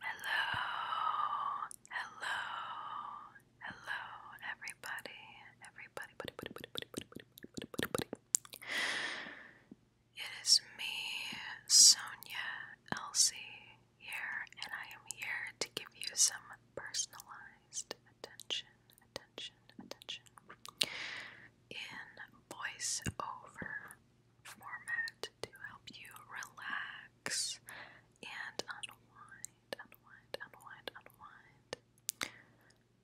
Hello, hello, hello, everybody, everybody, buddy, buddy, buddy, buddy, buddy, It is me, Sonya Elsie, here, and I am here to give you some personalized attention, attention, attention in voiceover format to help you relax and unwind, unwind, unwind, unwind.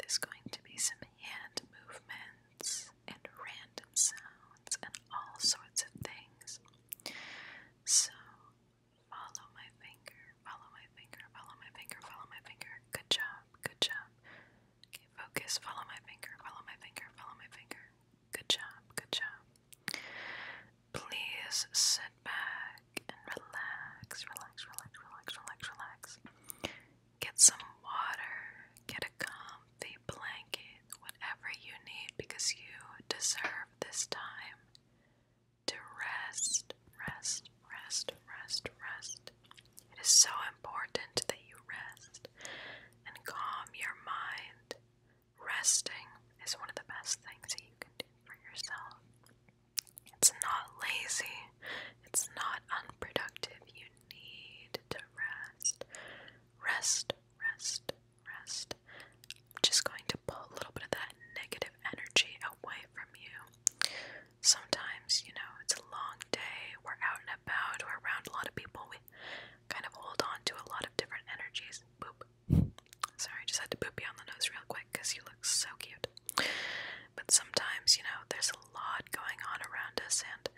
There's going to be some hand movements and random sounds and all sorts of things. So, follow my finger, follow my finger, follow my finger, follow my finger. Good job, good job. Okay, focus, follow my finger, follow my finger, follow my finger. Good job, good job. Please sit back and relax, relax, relax, relax, relax, relax. Get some water, get a comfy blanket, whatever you need, because you deserve this time to rest, rest, rest, rest, rest. It is so important that you rest and calm your mind resting is one of the best things that you can do for yourself. It's not lazy, it's not unproductive. You need to rest. Rest, rest, rest. just going to pull a little bit of that negative energy away from you. Sometimes, you know, it's a long day, we're out and about, we're around a lot of people, we Kind of hold on to a lot of different energies. Boop. Sorry, just had to boop you on the nose real quick because you look so cute. But sometimes, you know, there's a lot going on around us and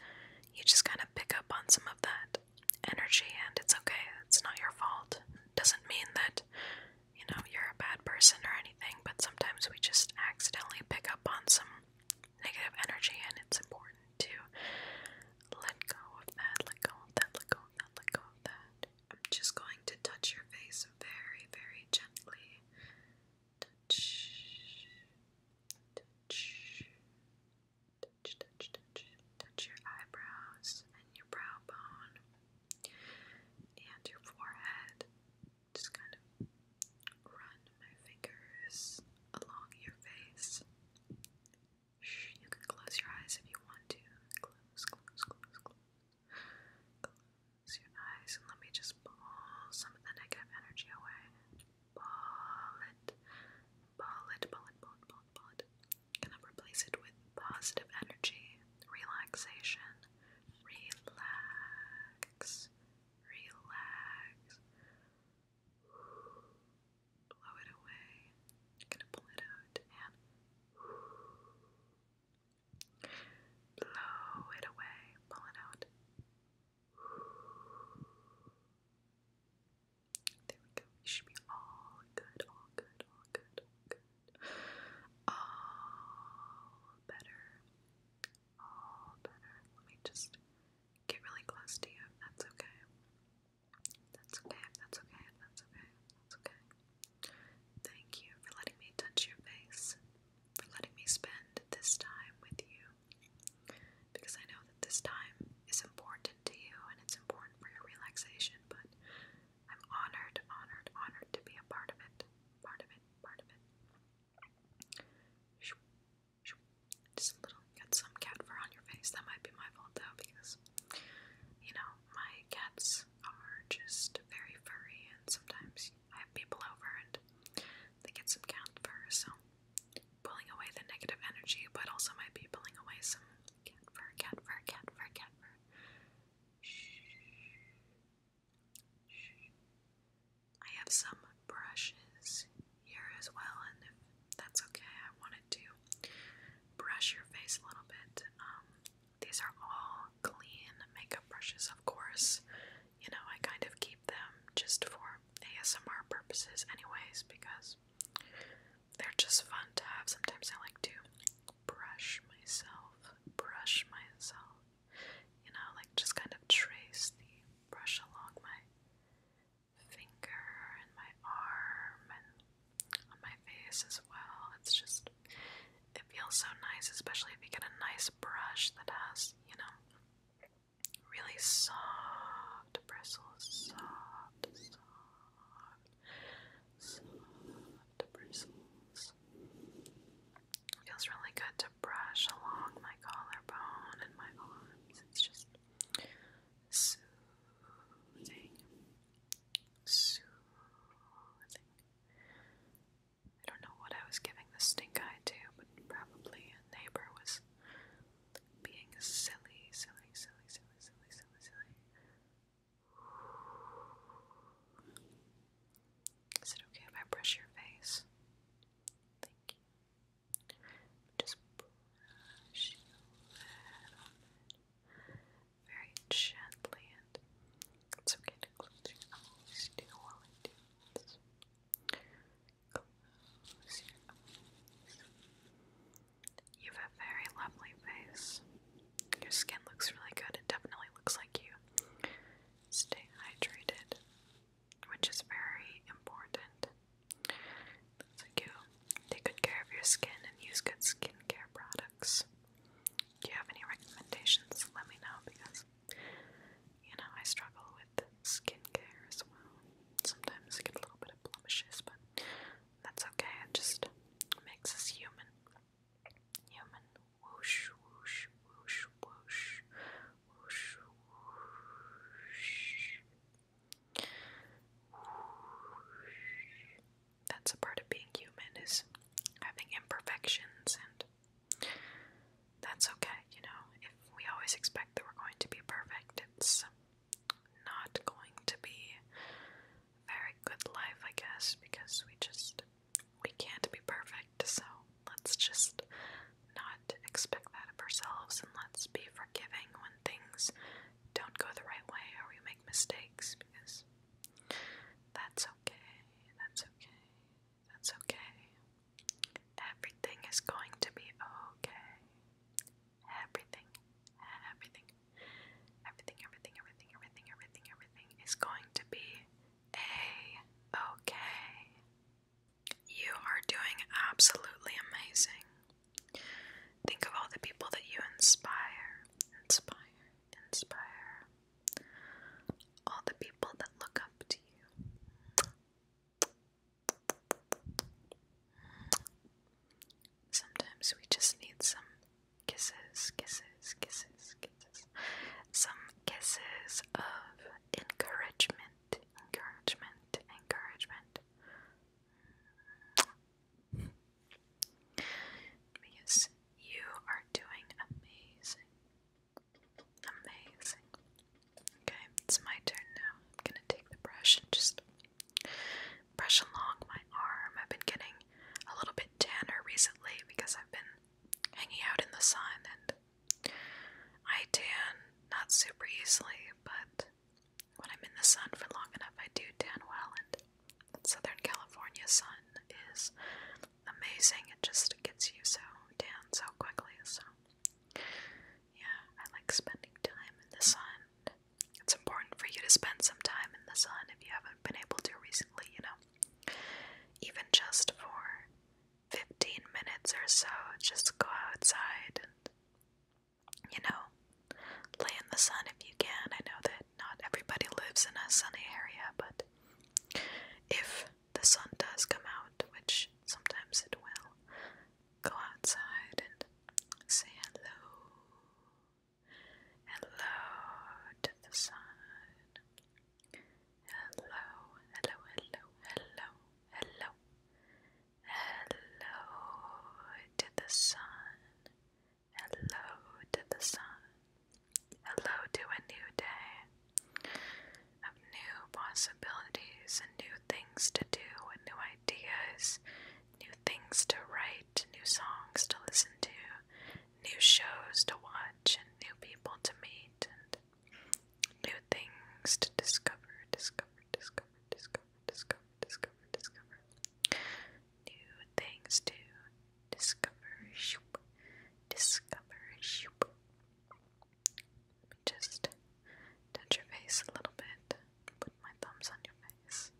you just kind of pick up on some of that energy and it's okay. It's not your fault. doesn't mean that, you know, you're a bad person or anything, but sometimes we just accidentally pick up on some negative energy and it's important to let go of that, let go of that, let go of that, let go of that. I'm just going to touch your face very, very gently. Touch, touch, touch, touch, touch, touch your eyebrows and your brow bone and your forehead. Just kind of run my fingers along your face. Shh, you can close your eyes if you want to. Close, close, close, close. Close your eyes and let me just pull some of the negative energy away. Pull it. Pull it, pull it, pull it, pull it, pull it. Gonna replace it with positive energy, relaxation. Relax. Relax blow it away. gonna pull it out and blow it away. Pull it out. There we go. You should be all good, all good, all good, all good. All better. All better. Let me just get really close to you that's okay. That's okay, that's okay, that's okay, that's okay. Thank you for letting me touch your face, for letting me spend this time with you. Because I know that this time is important to you and it's important for your relaxation, but I'm honored, honored, honored to be a part of it. Part of it, part of it. Just a little, got some cat fur on your face. That might be my fault though, because you know my cats are just very furry, and sometimes I have people over and they get some cat fur. So pulling away the negative energy, but also might be pulling away some cat fur, cat fur, cat fur, cat fur. I have some brushes here as well, and that's okay, I wanted to brush your face a little bit. Um, these are all clean makeup brushes, of course. You know, I kind of keep them just for ASMR purposes, anyways, because they're just fun to have. Sometimes I like to brush myself, brush myself, you know, like just kind of trace the brush along my finger and my arm and on my face as well. It's just, it feels so nice, especially if you get a nice brush that has, you know, really soft bristles. Soft, soft, soft bristles. It feels really good to brush along my collarbone and my arms. It's just soothing soothing, soothing. I don't know what I was giving the stink eye to, but probably a neighbor was being silly, silly, silly, silly, silly, silly, silly. Is it okay if I brush your face? Thank you. Just brushing a very gently, and it's okay to close your eyes too while I do this. You have a very lovely face. Your skin looks really good. It definitely looks like you stay hydrated, which is very important. Those are Take good care of your skin and use good skincare products. Do you have any recommendations? Let me know because, you know, I struggle with skincare as well. Sometimes I get a little bit of blemishes, but that's okay. It just makes us human. Human. Whoosh, whoosh, whoosh, whoosh. Whoosh, whoosh. That's a part of being human is having imperfections and that's okay, you know. If we always expect that we're going to be perfect, it's not going to be very good life, I guess, because we just we can't be perfect, so let's just not expect that of ourselves and let's be forgiving when things don't go the right way or you make mistakes because that's okay, that's okay, that's okay. Everything is going to be okay. Everything, everything, everything, everything, everything, everything, everything, everything is going to be a okay. You are doing absolutely amazing. Think of all the people that you inspire, inspire, inspire. All the people that look up to you. Sometimes we just need some kisses, kisses, kisses, kisses. Some kisses of encouragement, encouragement, encouragement. Because you are doing amazing. Amazing. Okay, it's my turn now. I'm gonna take the brush and just brush along my arm. I've been getting a little bit tanner recently because I've been hanging out in the sun and I tan not super easily, but when I'm in the sun for long enough, I do tan well, and Southern California sun is amazing. It just gets you so tan so quickly. So, yeah, I like spending time in the sun. It's important for you to spend some time in the sun if you haven't been able to recently, you know. Even just for 15 minutes or so, just go outside and you know, lay in the sun if you can. I know that not everybody lives in a sunny area, but if the sun does come out, which sometimes it will, go outside and say hello. Hello to the sun. Hello, hello, hello, hello, hello, Hello to the sun. Hello to the sun. Hello to a new day of new possibilities and new things to do and new ideas, new things to write, new songs to listen to, new shows to watch, and new people to meet, and new things to discover, discover, discover, discover discover, discover, discover. New things to discover. Discover. just touch your face a little bit. Put my thumbs on your face.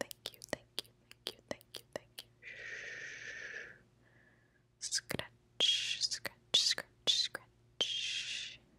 Thank you, thank you, thank you, thank you, thank you. Scratch, scratch, scratch, scratch.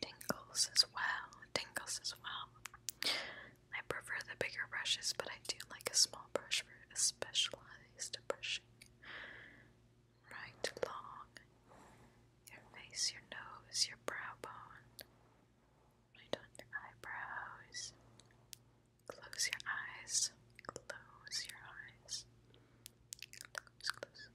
tingles as well. Tingles as well. I prefer the bigger brushes, but I do like a small brush for a specialized brushing. Right along your face, your nose, your brow bone, right on your eyebrows. Close your eyes. Close your eyes. close.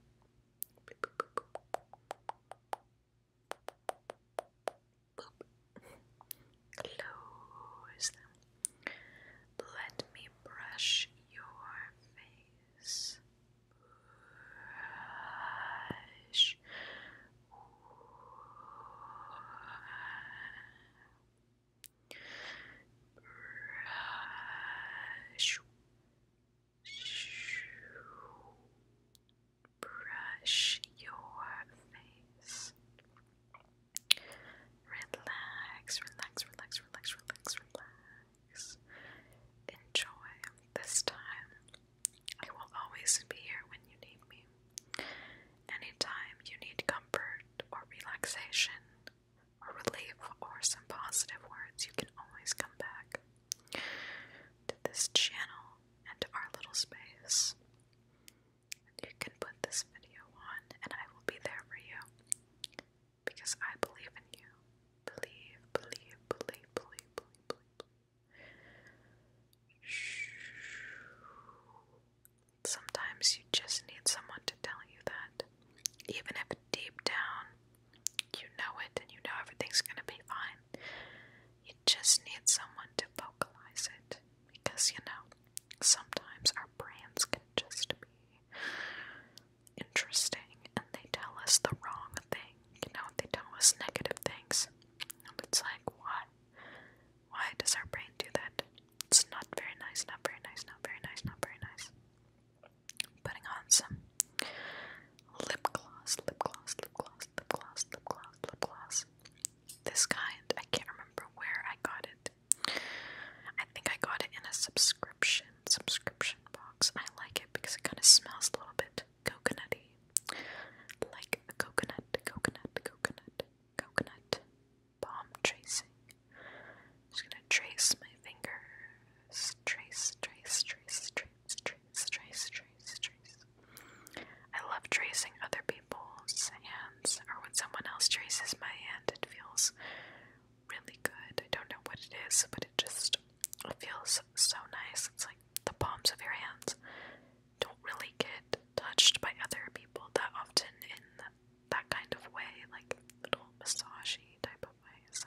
Close them. Let me brush your face. Brush. Brush. Brush your face. Relax, relax, relax, relax, relax, relax. Enjoy this time. I will always be here when you need me. Anytime you need comfort or relaxation or relief or some positive words, you can always come back to this channel and to our little space. You can put this video on, and I will be there for you because I believe in you. Believe, believe, believe, believe, believe, believe. Sometimes you just need someone to tell you that, even if deep down you know it and you know everything's gonna be fine. You just need someone to vocalize it. Because, you know, sometimes our brains can just be interesting and they tell us the wrong thing. You know, they tell us negative things. And it's like, why? Why does our brain do that? It's not very nice, not very nice, not very nice, not very nice putting on some lip gloss, lip gloss, lip gloss, lip gloss, lip gloss, lip gloss. This kind, I can't remember where I got it. I think I got it in a subscription subscription box. I like it because it kind of smells a little bit coconutty, like a coconut, coconut, coconut, coconut palm tracing. just gonna trace my fingers, trace, trace, trace, trace, trees, trees, trees, trees, I love tracing other people's hands, or when someone else traces my hand, it feels really good. I don't know what it is, but it just feels so nice. It's like the palms of your hands don't really get touched by other people that often in that kind of way, like little massagey type of way. So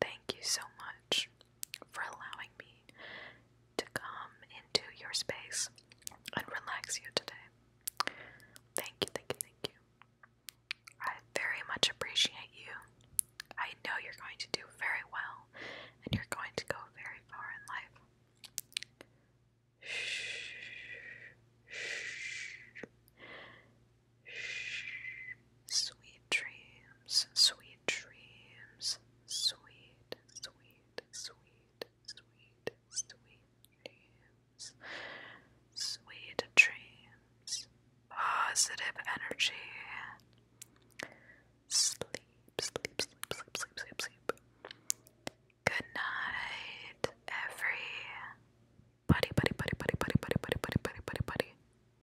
Thank you so much for allowing me to come into your space and relax you today. Thank you, thank you, thank you. I very much appreciate you. I know you're going to do very well and you're going to go very far in life. Sweet dreams, sweet dreams, sweet, sweet, sweet, sweet, sweet dreams. Sweet dreams, positive energy. Sleep, sleep, sleep, sleep, sleep, sleep, sleep. Good night, every buddy, buddy, buddy, buddy, buddy, buddy, buddy, buddy, buddy, buddy, buddy.